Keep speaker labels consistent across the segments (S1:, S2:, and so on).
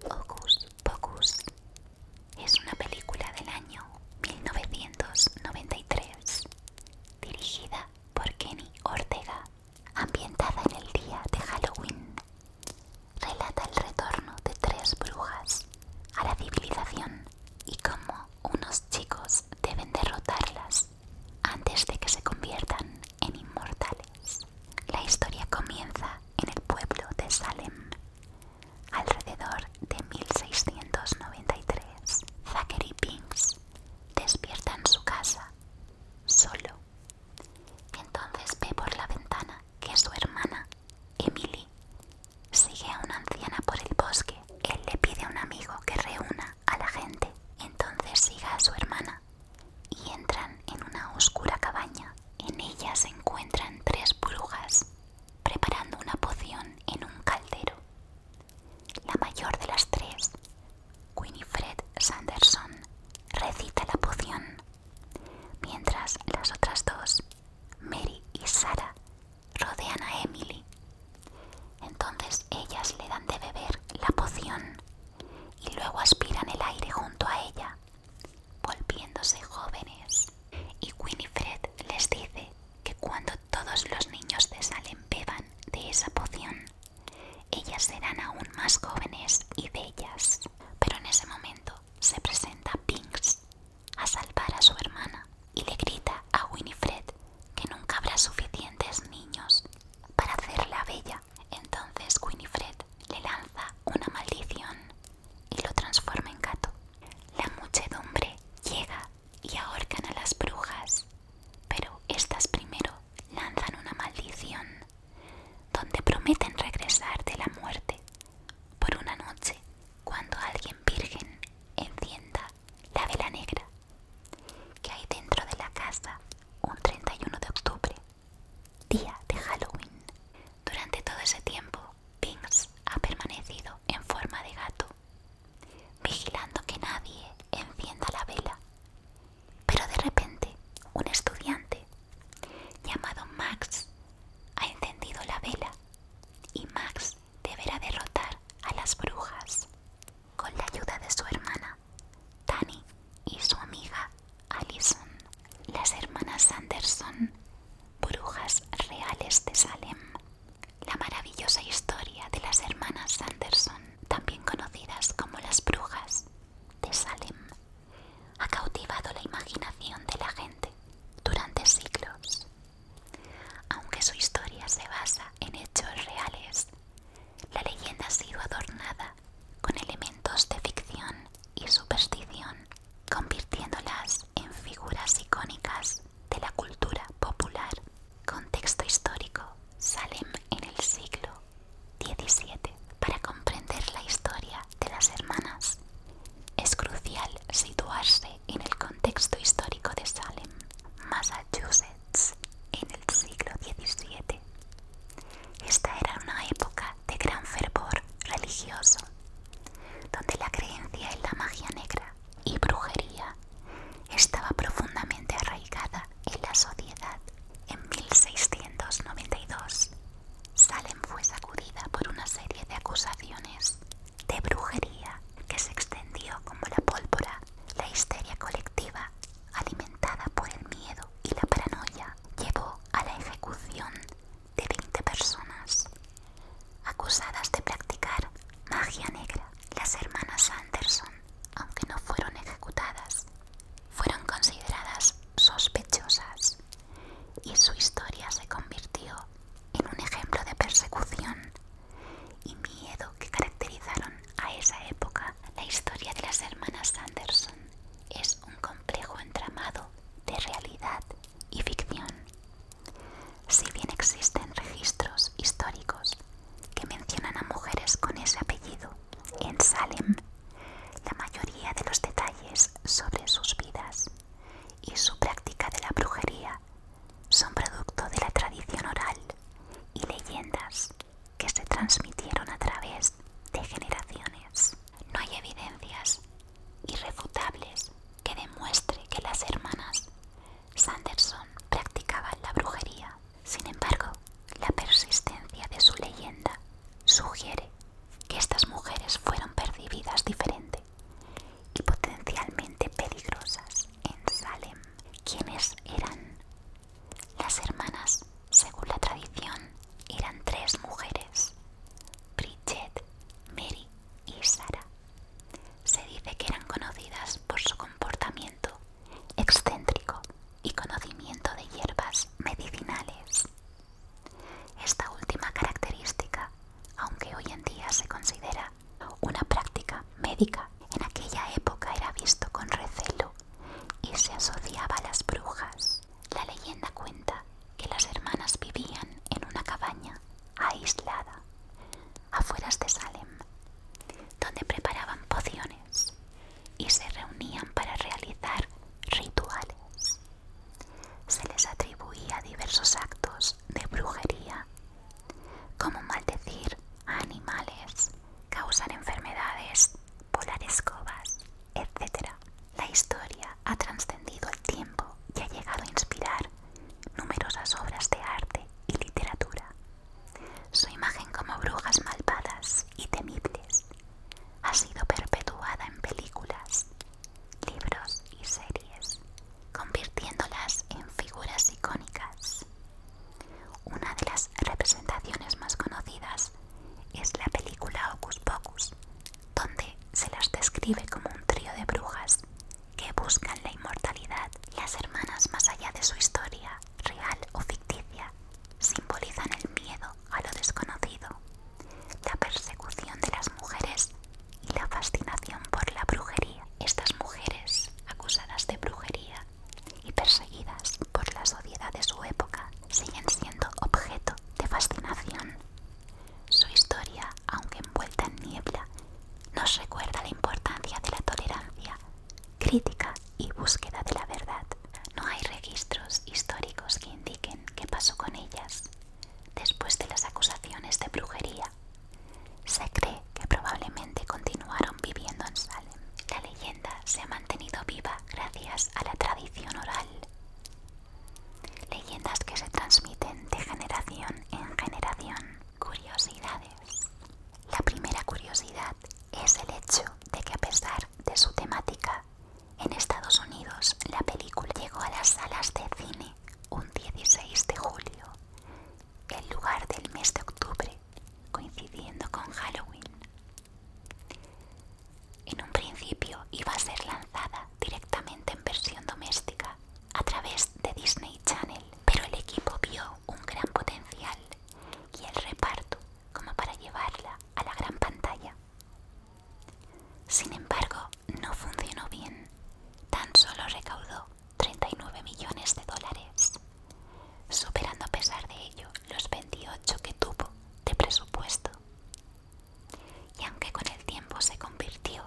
S1: Focus Pocus es una película del año 1993 dirigida por Kenny Ortega, ambientada en el día de Halloween. Relata el retorno de tres brujas a la civilización y cómo unos chicos deben derrotarlas antes de que se conviertan en inmortales. La historia comienza en el pueblo de Salem, alrededor de 1693. Zachary Pinks despierta en su casa, solo. Entonces ve por la ventana que su hermana, Emily, sigue a una anciana por el bosque él le pide a un amigo que reúna a la gente. Entonces siga a su hermana y entran en una oscura cabaña. En ella se encuentran tres brujas preparando una poción en un caldero. La mayor de las tres, Winifred Sanderson, recita la poción, mientras las otras dos, Mary y Sara, rodean a Emily. Entonces ellas le dan de beber la poción y luego aspiran el aire junto a ella, volviéndose jóvenes. Y Winifred les dice que cuando todos los niños de Salem beban de esa poción, ellas serán aún más jóvenes y bellas. Pero en ese momento se presenta Pinks, a salvar a su hermana y le grita a Winifred que nunca habrá suficientes niños para hacerla bella. Entonces Winifred le lanza una maldición y lo transforma en gato. La muchedumbre llega y ahorcan a las brujas, pero estas primero lanzan una maldición donde prometen regresar de la muerte por una noche cuando alguien virgen encienda la vela negra, que hay dentro de la casa un 31 de octubre, día de Halloween. Durante todo ese tiempo, Pins ha permanecido en forma de gato, vigilando que nadie encienda la vela. Pero de repente, un estudiante llamado Max ha encendido la vela y Max deberá derrotar a las brujas con la ayuda de su hermana Tani y su amiga Alison. Las hermanas Sanderson, brujas reales de Salem. La maravillosa historia de las hermanas Sanderson, también conocidas como las brujas de Salem, ha cautivado la imaginación de la gente durante siglos. Aunque su historia se basa en hechos reales, la leyenda ha sido adornada con elementos de ficción y superstición, convirtiéndolas en figuras icónicas de la cultura popular. Contexto histórico, Salem en el siglo XVII. Para comprender la historia de las hermanas, es crucial situarse en el contexto histórico de Salem, Massachusetts, en el siglo XVII. Esta era una época de gran fervor religioso, donde la creencia en la magia negra y brujería estaba profundamente arraigada en la sociedad. En 1692 Salem fue sacudida por una serie de acusaciones de brujería que se extendió como la pólvora. La histeria colectiva, alimentada por el miedo y la paranoia, llevó a la ejecución de 20 personas acusadas de practicar magia negra. Las hermanas Anderson, aunque no fueron ejecutadas, fueron consideradas sospechosas y su historia se convirtió en un ejemplo de persecución y miedo que caracterizaron a esa época. La historia de las hermanas Sanderson es un complejo entramado de realidad y ficción. Si bien existen registros históricos que mencionan a mujeres con ese apellido en Salem, la mayoría de los detalles sobre sus vidas y su práctica de la brujería son producto de la tradición oral y leyendas que se transmitieron a través de generaciones. No hay evidencias irrefutables que demuestre que las hermanas Sanderson practicaban la brujería. Sin embargo, la persistencia de su leyenda sugiere que estas mujeres fueron percibidas diferente y potencialmente peligrosas en Salem. ¿Quiénes eran? Las hermanas, según la tradición, eran tres mujeres, Bridget, Mary y Sarah. Se dice que eran conocidas por su comportamiento excéntrico y conocimiento de hierbas medicinales. Esta última característica, aunque hoy en día se considera una práctica médica, en aquella época era visto con recelo y se asociaba a las brujas. La leyenda cuenta que las hermanas vivían en una cabaña aislada, afueras de Salem, donde preparaban pociones y se reunían para realizar rituales. Se les atribuía diversos actos de brujería, como maldecir a animales, causar enfermedades, volar escobas, etc. La historia ha trascendido el tiempo y ha llegado a inspirar numerosas obras de arte y literatura. Su imagen como brujas malvadas y temibles ha sido perpetuada en películas, libros y series, convirtiéndolas en figuras icónicas. Una de las representaciones más conocidas es la película Hocus Pocus, donde se las describe como un trío de brujas que buscan la inmortalidad. y Las hermanas más allá de su historia, real o ficticia, simbolizan el miedo a lo desconocido, la persecución de las mujeres y la fascinación por la brujería. Estas mujeres, acusadas de brujería y perseguidas por la sociedad de su época, siguen siendo objeto de fascinación. Su historia, aunque envuelta en niebla, nos recuerda la importancia de la tolerancia, crítica y búsqueda de la verdad. No hay registros históricos que indiquen qué pasó con ellas después de las acusaciones de brujería. Se cree que probablemente continuaron viviendo en Salem. La leyenda se ha mantenido viva gracias a la tradición oral. Leyendas que se transmiten de generación en generación. Curiosidades. La primera curiosidad es el hecho de que a pesar de su temática, en Estados Unidos la película llegó a las salas de cine un 16 de julio, en lugar del mes de octubre, coincidiendo con Halloween. En un principio iba a ser lanzada directamente en versión doméstica a través de Disney Channel, pero el equipo vio un gran potencial y el reparto como para llevarla a la gran pantalla. Sin embargo, no funcionó bien. Tan solo recaudó 39 millones de dólares, superando a pesar de ello los 28 que tuvo de presupuesto. Y aunque con el tiempo se convirtió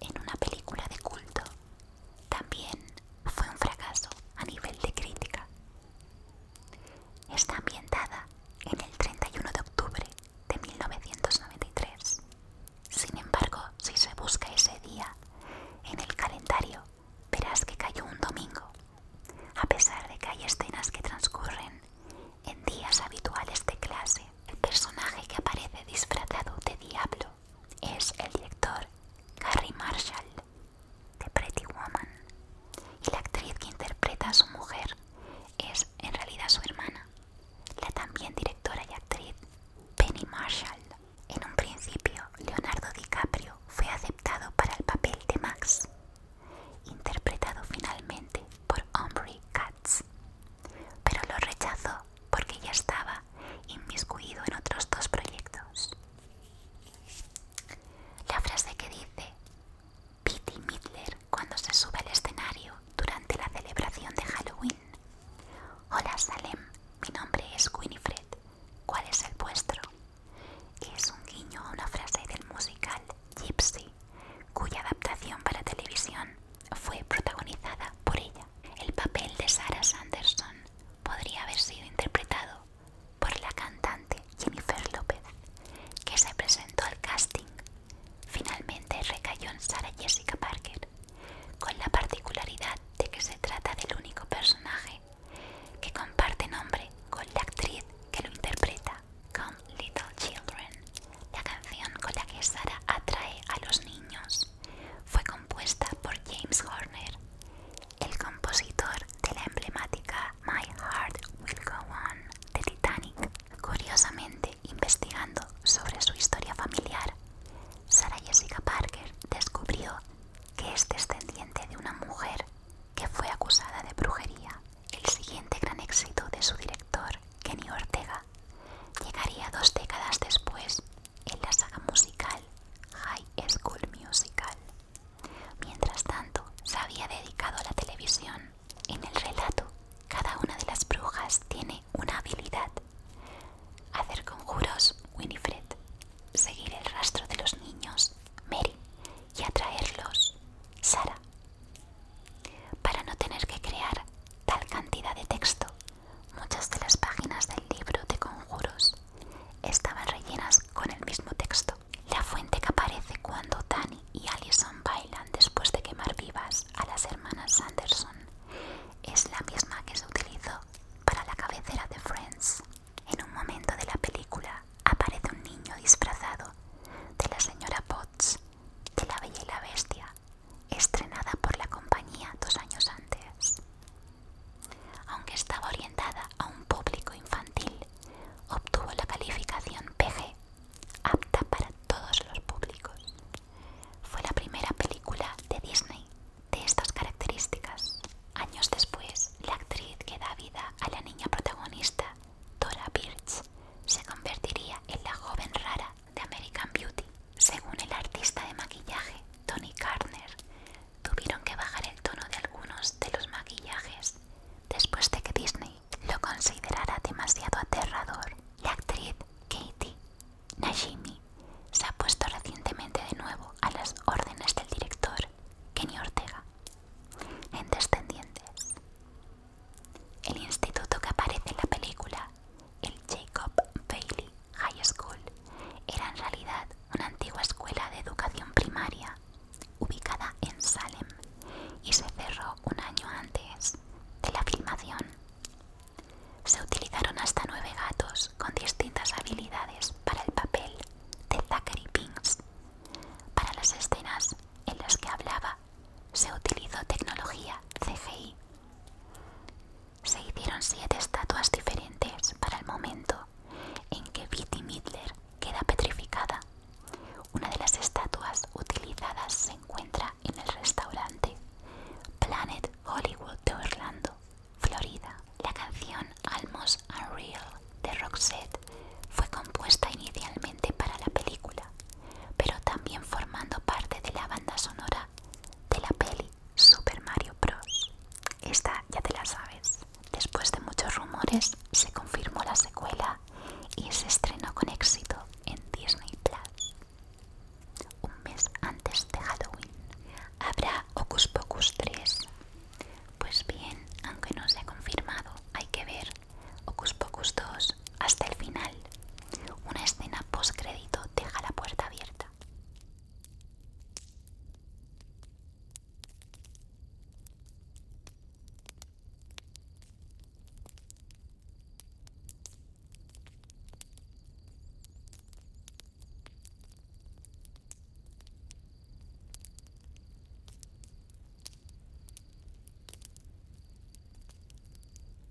S1: en una película de culto, también fue un fracaso a nivel de crítica. Está ambientada en el 31 de octubre de 1993. Sin embargo, si se busca ese día en el calendario, verás que cayó un domingo, a pesar de que hay escenas que transcurren en días habituales de clase. El personaje que aparece disfrazado de diablo es el director Gary Marshall, de Pretty Woman y la actriz que interpreta a su mujer es en realidad su hermana, la también directora y actriz Penny Marshall. En un principio, Leonardo DiCaprio fue aceptado para el papel de Max, interpretado finalmente por Humphrey Katz, pero lo rechazó porque ya estaba inmiscuido en otros dos proyectos. La frase que dice Pitti Midler cuando se sube al escenario durante la celebración de Halloween. Hola Salem, mi nombre es Winifred. ¿Cuál es el vuestro? Es un guiño a una frase del musical Gypsy, cuya adaptación para televisión fue protagonizada por ella. El papel de Sarah Sanderson podría haber sido interpretado por la cantante Jennifer López, que se presentó al casting. Finalmente recayó en Sarah Jessica Parker, con la particularidad de que se trata del único personaje que comparte nombre con la actriz que lo interpreta, Come Little Children. La canción con la que Sara atrae a los niños fue compuesta por James Horner, el compositor de la emblemática My Heart Will Go On de Titanic. Curiosamente, investigando sobre su historia familiar, Sara Jessica Parker descubrió que es descendiente de una mujer que fue acusada de brujería. El siguiente gran éxito de su director, Kenny Ortega, llegaría dos décadas después en la saga musical High School Musical. Mientras tanto, se había dedicado a la televisión. En el relato, cada una de las brujas tiene una habilidad. Hacer conjuros, Winifred. Seguir el rastro de los niños, Mary. Y atraerlos, Sara. Para no tener que crear tal cantidad de texto, Muchas de las páginas del libro de conjuros estaban rellenas con el mismo texto. La fuente que aparece cuando Danny y Allison bailan después de quemar vivas a las hermanas Sanderson es la misma que se utilizó para la cabecera de Friends. En un momento de la película aparece un niño disfrazado de la señora Potts de la Bella y la Bestia estrenada por la compañía dos años antes. Aunque estaba orientada a un público infantil, obtuvo la calificación PG, apta para todos los públicos. Fue la primera película de Disney de estas características. Años después, la actriz que da vida a la niña protagonista, Dora Birch, se convertiría en la joven rara de American Beauty. Según el artista de maquillaje Tony Carner, tuvieron que bajar el tono de algunos de los maquillajes después de que Disney lo considerara demasiado aterrador. La actriz Katie Najimi se ha puesto recientemente de nuevo a las órdenes del director Kenny Ortega en Descendientes. El instituto que aparece en la película el Jacob Bailey High School era en realidad una antigua escuela de educación primaria ubicada en Salem y se cerró un año antes de la filmación. Se utilizaron hasta nueve gatos con distintas habilidades para el papel de Zachary Pinks Para las escenas en las que hablaba se utilizó tecnología CGI se hicieron siete estatuas diferentes para el momento en que Betty Midler queda petrificada. Una de las estatuas utilizadas se encuentra en el restaurante Planet Hollywood de Orlando, Florida. La canción Almost Unreal de Roxette fue compuesta inicialmente para la película, pero también formando parte de la banda sonora de la peli Super Mario Bros. Esta ya te la sabes. Después de muchos rumores se confirmó la secuela y se estrenó con éxito en Disney Plus. Un mes antes de Halloween. ¿Habrá Ocus Pocus 3? Pues bien, aunque no se ha confirmado, hay que ver. Ocus Pocus 2 hasta el final. Una escena post postcrédito deja la puerta abierta.